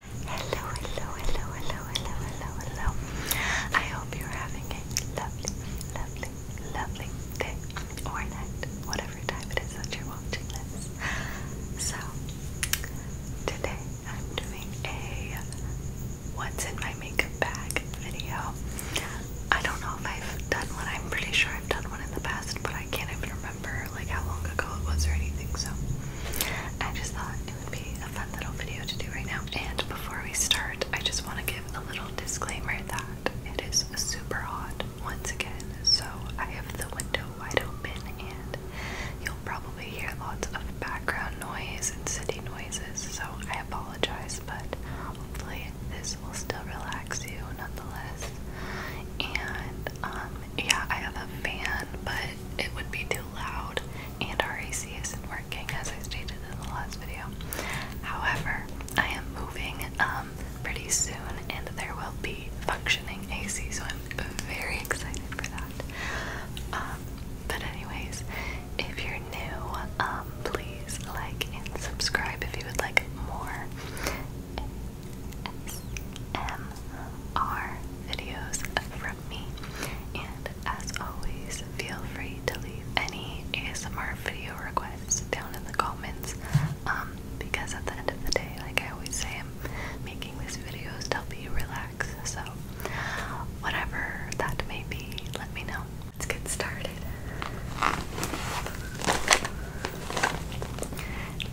Hello, hello, hello, hello, hello, hello, hello. I hope you're having a lovely, lovely, lovely day or night, whatever time it is that you're watching this. So, today I'm doing a what's in my makeup bag video. I don't know if I've done one, I'm pretty sure I've done one in the past, but I can't even remember like how long ago it was or anything, so I just thought it would be a fun little video to do right now. And before we start, I just want to give a little disclaimer that it is super hot once again, so I have the window wide open and you'll probably hear lots of background noise and city noises, so I apologize, but hopefully this will still relax you nonetheless. And um, yeah, I have a fan, but it would be too loud, and our AC isn't working, as I stated in the last video. However, I am moving um, pretty soon, and there will be functioning AC, so I'm very excited for that. Um, but anyways, if you're new, um, please like and subscribe if you would like more. ASMR videos from me. And as always, feel free to leave any ASMR video requests down in the comments. Um, because at the end of the day, like I always say, I'm making these videos to help you relax. So, whatever that may be, let me know. Let's get started.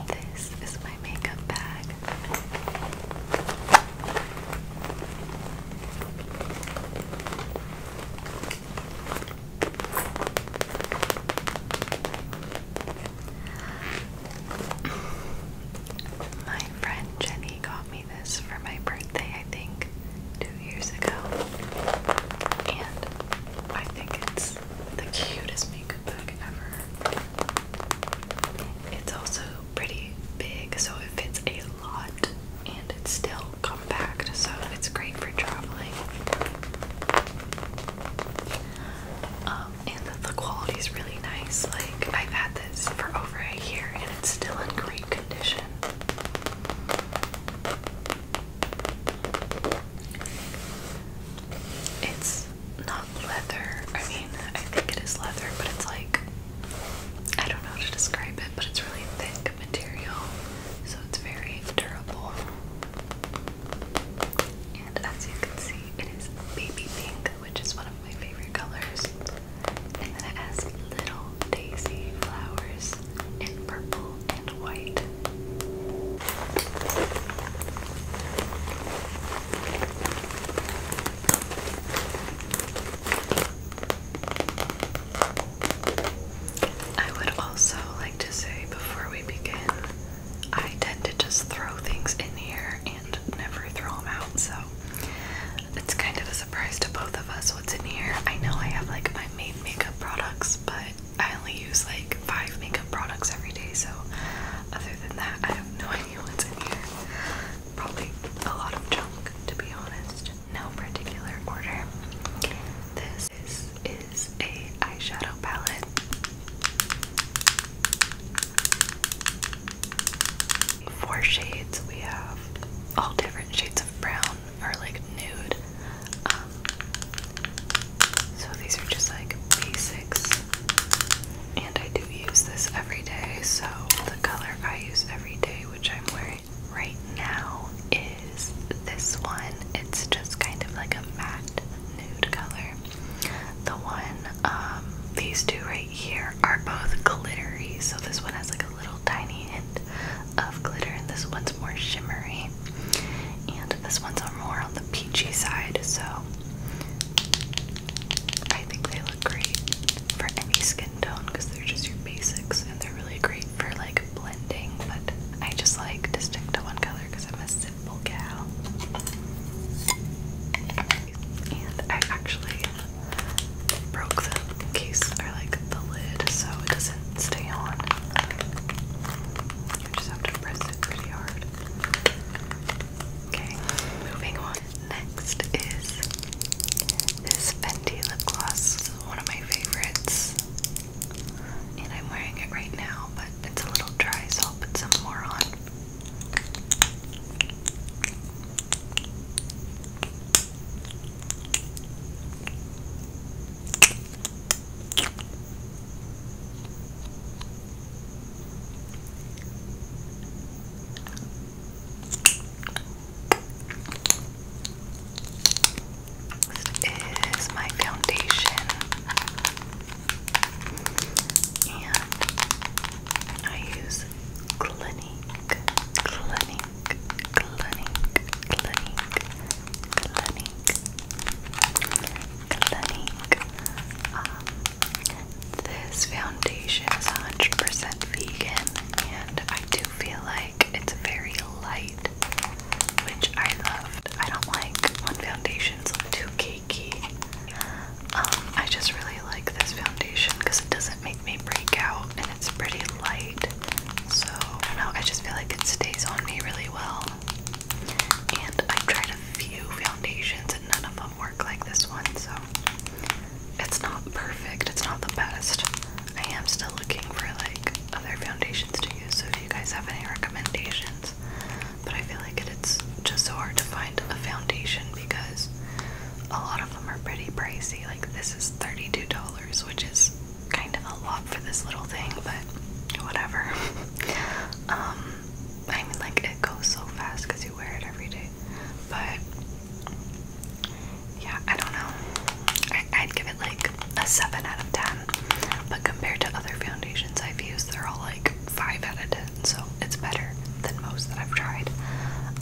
This is my makeup bag. My friend Jenny got me this for my birthday, I think, two years ago. And I think it's the cutest makeup bag ever. It's also pretty big, so it fits a lot and it's still compact, so it's great for traveling. Um, and the quality is really nice. Like, I've had this for over a year and it's still in great condition. It's not leather. I mean, I think it is leather, but it's like I don't know how to describe it, but it's really thick material, so it's very durable. And as you can see, it is baby pink, which is one of my favorite colors. And then it has little daisy flowers in purple and white. I would also like to say before we begin, I tend to just throw things in here and never throw them out, so it's kind of a surprise to both of us what's in here. I know I have like my main makeup products, but I only use like five makeup products every day, so than that, I have no idea what's in here. Probably a lot of junk, to be honest. No particular order. This is, is a eyeshadow palette. Four shades. We have all different shades of brown or like nude. Um, so these are just like basics. And I do use this every day. So the color I use every day, which I'm wearing right now, is this one. It's just kind of like a matte nude color. The one, um, these two right here are both glittery. So this one has like a little tiny hint of glitter, and this one's more shimmery. And this one's more on the peachy side, so I think they look great for any skin tone because they're just your basics and they're really great for like blending, but I just like to stick to one color because I'm a simple gal. And I actually broke the case or like the lid so it doesn't stay on. You just have to press it pretty hard. Okay, moving on. Next is this Fenty lip gloss. This is one of my favorites. And I'm wearing it right now, but it's a little dry, so I'll put some more on. This is my foundation, and I use Clinique, Clinique, Clinique, Clinique clinic, clinic. Um, this foundation is 100% vegan, and I do feel like it's very light, which I love. I don't like when foundations look too cakey. Um, I just really like this foundation because it doesn't make me break out, and it's pretty light. So I don't know. I just feel like it stays on me really well. And i tried a few foundations and none of them work like this one, so it's not perfect, it's not the best. I am still looking for like other foundations to use, so if you guys have any recommendations, but I feel like it's just so hard to find a foundation because a lot of them are pretty pricey. Like this is $32, which is kind of a lot for this little thing, but whatever. Um, I mean, like it goes so fast because you wear it every day. But yeah, I don't know. I, would give it like a seven out of ten. But compared to other foundations I've used, they're all like five out of ten. So it's better than most that I've tried.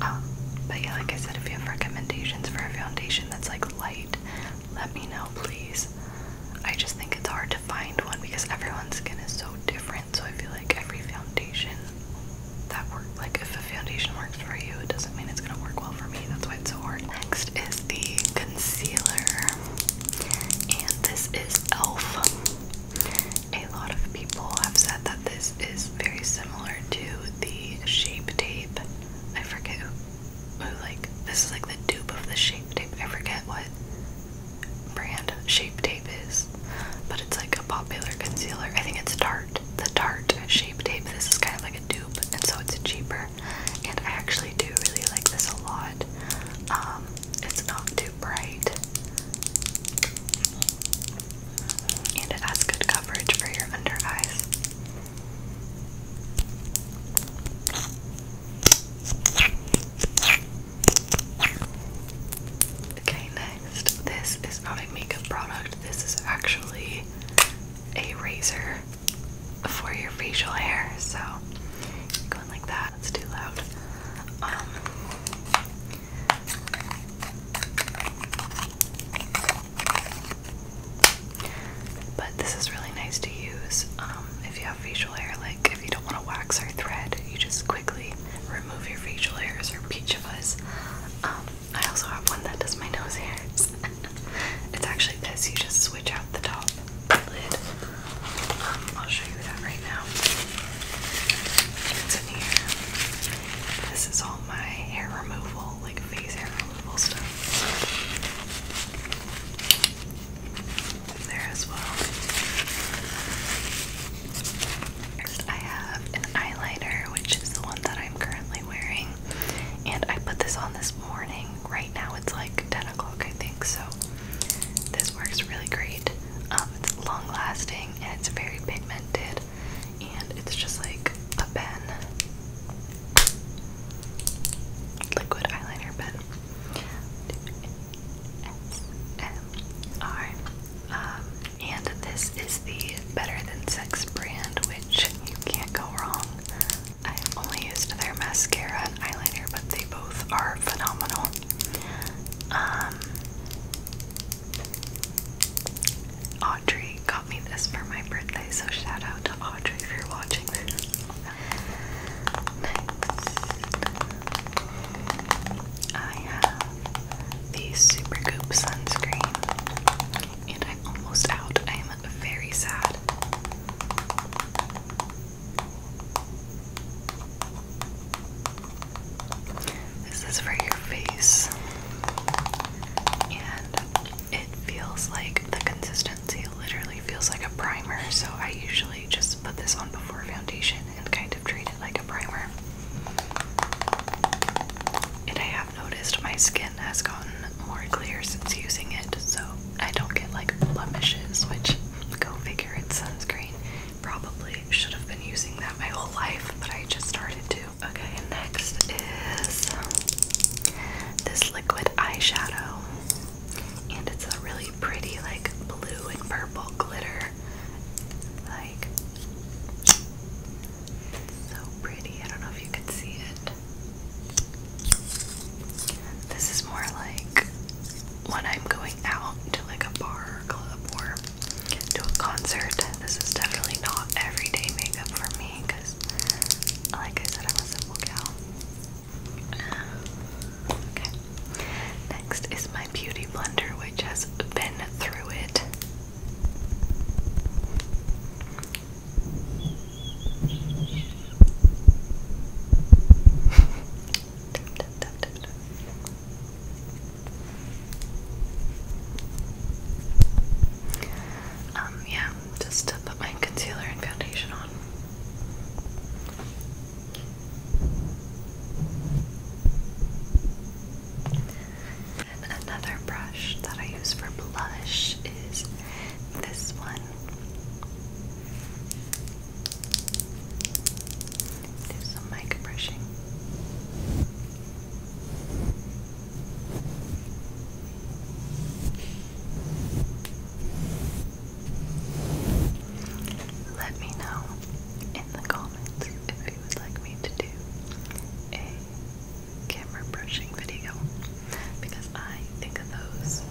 Um, but yeah, like I said, if you have recommendations for a foundation that's like light let me know, please. I just think it's hard to find one because everyone's skin is so different. So I feel like every foundation that works, like if a foundation works for you, it doesn't mean it's gonna work well for me. That's why it's so hard. Next is the concealer, and this is e.l.f. A lot of people have said that this is very similar to the Shape Tape. I forget like this is like the dupe of the shape tape. I forget what brand shape tape is, but it's like a popular concealer. I think it's Tarte, the Tarte shape tape. This is kind of like a dupe, and so it's cheaper. And I actually do really like this a lot. Um, it's not too bright, and it has good coverage for your under eyes. Okay, next. This is not a makeup product. This is actually a razor for your facial hair. So, going like that. That's too loud. Um, but this is really nice to use um, if you have facial hair. Like, if you don't want to wax or thread, you just quickly remove your facial hairs or peach fuzz. Um, I also have one that does my nose hairs. it's actually this. You just switch out the top lid. Um, I'll show you that right now. It's in here. This is all my hair removal, like face removal stuff there as well. I have an eyeliner, which is the one that I'm currently wearing, and I put this on this morning. Right now, it's like 10 o'clock, I think, so this works really great. Um, it's long lasting and it's very pigmented, and it's just like a pen liquid eyeliner pen. SMR. Um, and this is the Better Than Sex brand, which you can't go wrong. I've only used their mascara and eyeliner, but they both are phenomenal. Um, Audrey got me this for my birthday, so shout out to Audrey if you're watching this. Next, I have the Super Goop sunscreen, and I'm almost out. I am very sad. This is for your face, and it feels like the consistency literally feels like a primer, so I usually just put this on before foundation and kind of treat it like a primer. And I have noticed my skin has gotten more clear since using it, so I don't get like blemishes, which go figure it's sunscreen. Probably should have been using that my whole life, but I just started to. Okay, next is this liquid eyeshadow, and it's a really pretty, like blue and purple glitter. Like, so pretty. I don't know if you can see it. This is more like when I'm going out to like a bar or club or to a concert. This is definitely not everyday makeup for me because like I said, I'm a simple gal. Okay. Next is my beauty blender, which has been through it. Um, yeah, just to put my concealer and foundation on. Another brush that I use for blush is this one. Do some mic brushing. Let me know in the comments if you would like me to do a camera brushing video because I think those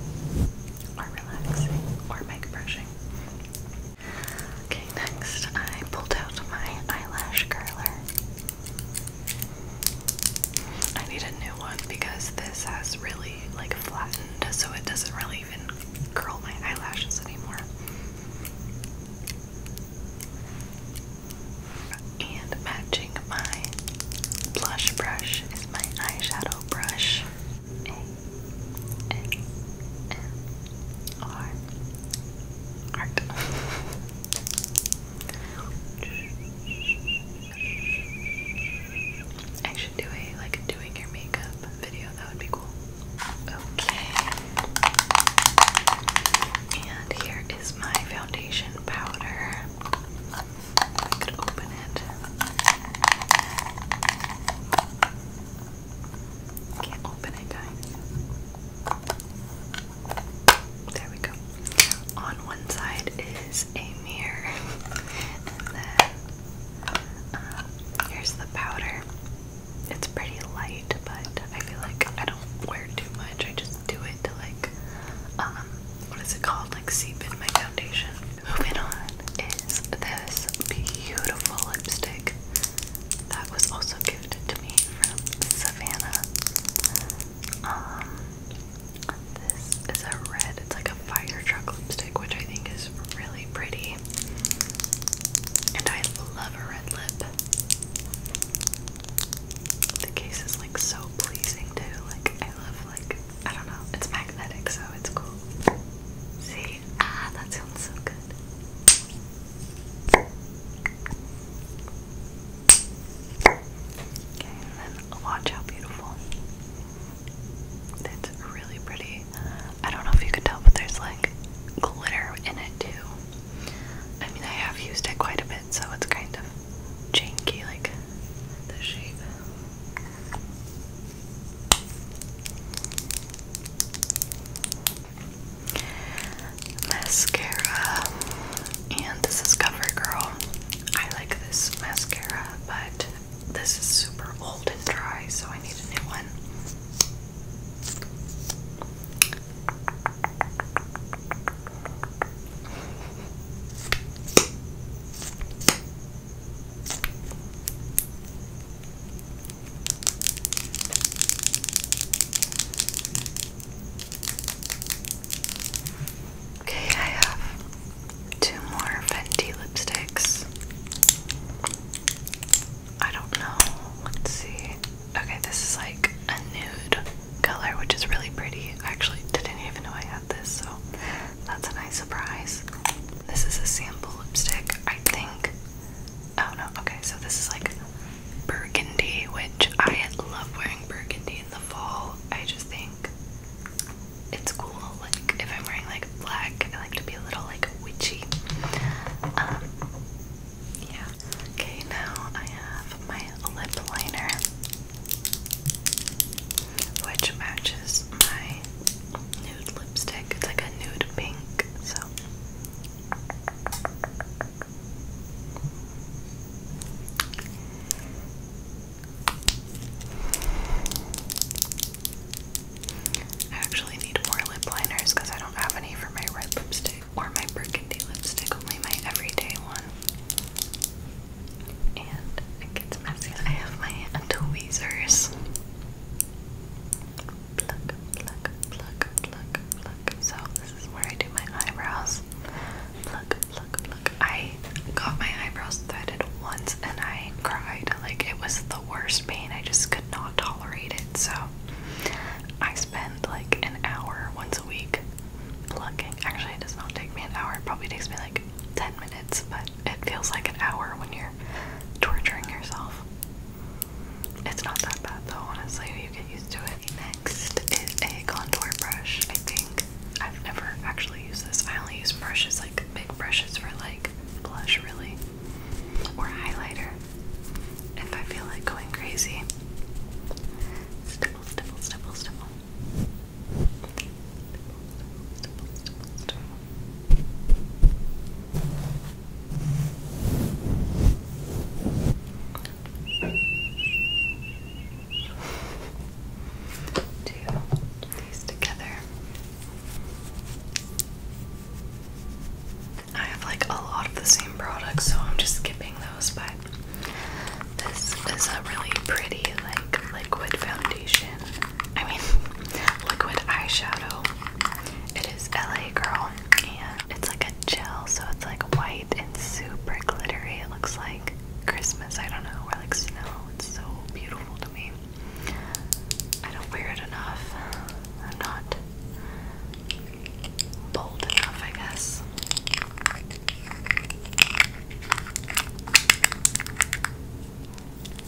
are relaxing or mic brushing. Okay, next I pulled out my eyelash curler. I need a new one because this has really like flattened so it doesn't really even curl my eyelashes anymore. And matching my blush brush is my eyeshadow brush. A A M R Heart. I should do a like doing your makeup video. That would be cool. Okay. And here is my foundation powder. I could open it. Can't open it, guys. There we go. On one side is a mirror, and then um, here's the powder. It's pretty light, but I feel like I don't wear too much. I just do it to like, um, what is it called? Like seep in my foundation. Moving on is this beautiful lipstick that was also gifted to me from Savannah. Um, this is a red, it's like a fire truck lipstick, which I think is really pretty. And I love a red lip. The case is like so pleasing too. Like I love like I don't know, it's magnetic, so it's cool. See? Ah, that sounds so good. Okay, and then watch how beautiful. That's really pretty. I don't know if you can tell, but there's like glitter in it too. I mean, I have used it quite a bit, so it's kind of janky, like the shape mascara, and this is CoverGirl. I like this mascara, but this is super old and dry, so I need a new one. Okay, I have two more Fenty lipsticks. I don't know. Let's see. Okay, this is like a nude color, which is really pretty. I didn't even know I had this, so that's a nice surprise. This is a sample lipstick, I think. Oh no, okay, so this is like burgundy, which I love wearing burgundy in the fall. I just think it's cool. Like if I'm wearing like black, I like to be a little like witchy. Um, yeah. Okay, now I have my lip liner, which matches my nude lipstick. It's like a nude pink, so. I actually need more lip liners because I don't have any for my red lipstick or my burgundy lipstick, only my everyday one. And it gets messy. I have my tweezers. Pluck, pluck, pluck, pluck, pluck. So this is where I do my eyebrows. Look, look, look. I got my eyebrows threaded once and I cried. Like, it was the worst pain. I just could not tolerate it. So, I spend like an hour once a week plucking. Actually, it does not take me an hour. It probably takes me like 10 minutes, but it feels like an hour when you're torturing yourself. It's not that bad though, honestly. You get used to it. Next is a contour brush. I think I've never actually used this. I only use brushes like big brushes for like blush, really, or highlighter if I feel like going crazy. Stipple, stipple, stipple, stipple. Stipple, stipple, stipple, stipple. Two these together. I have like a lot of the same products, so I'm just skipping those, but this is a really pretty like liquid foundation. I mean liquid eyeshadow. It is LA Girl and it's like a gel, so it's like white and super glittery. It looks like Christmas, I don't know, or like snow. It's so beautiful to me. I don't wear it enough. I'm not bold enough, I guess.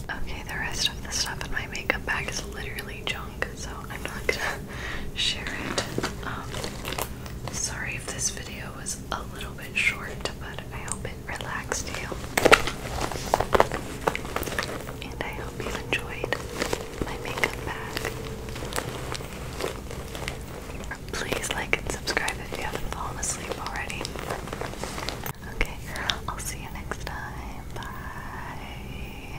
Okay, the rest of the stuff in my makeup bag is literally junk, so I'm not share it. Um, sorry if this video was a little bit short, but I hope it relaxed you. And I hope you enjoyed my makeup bag. Please like and subscribe if you haven't fallen asleep already. Okay, I'll see you next time. Bye.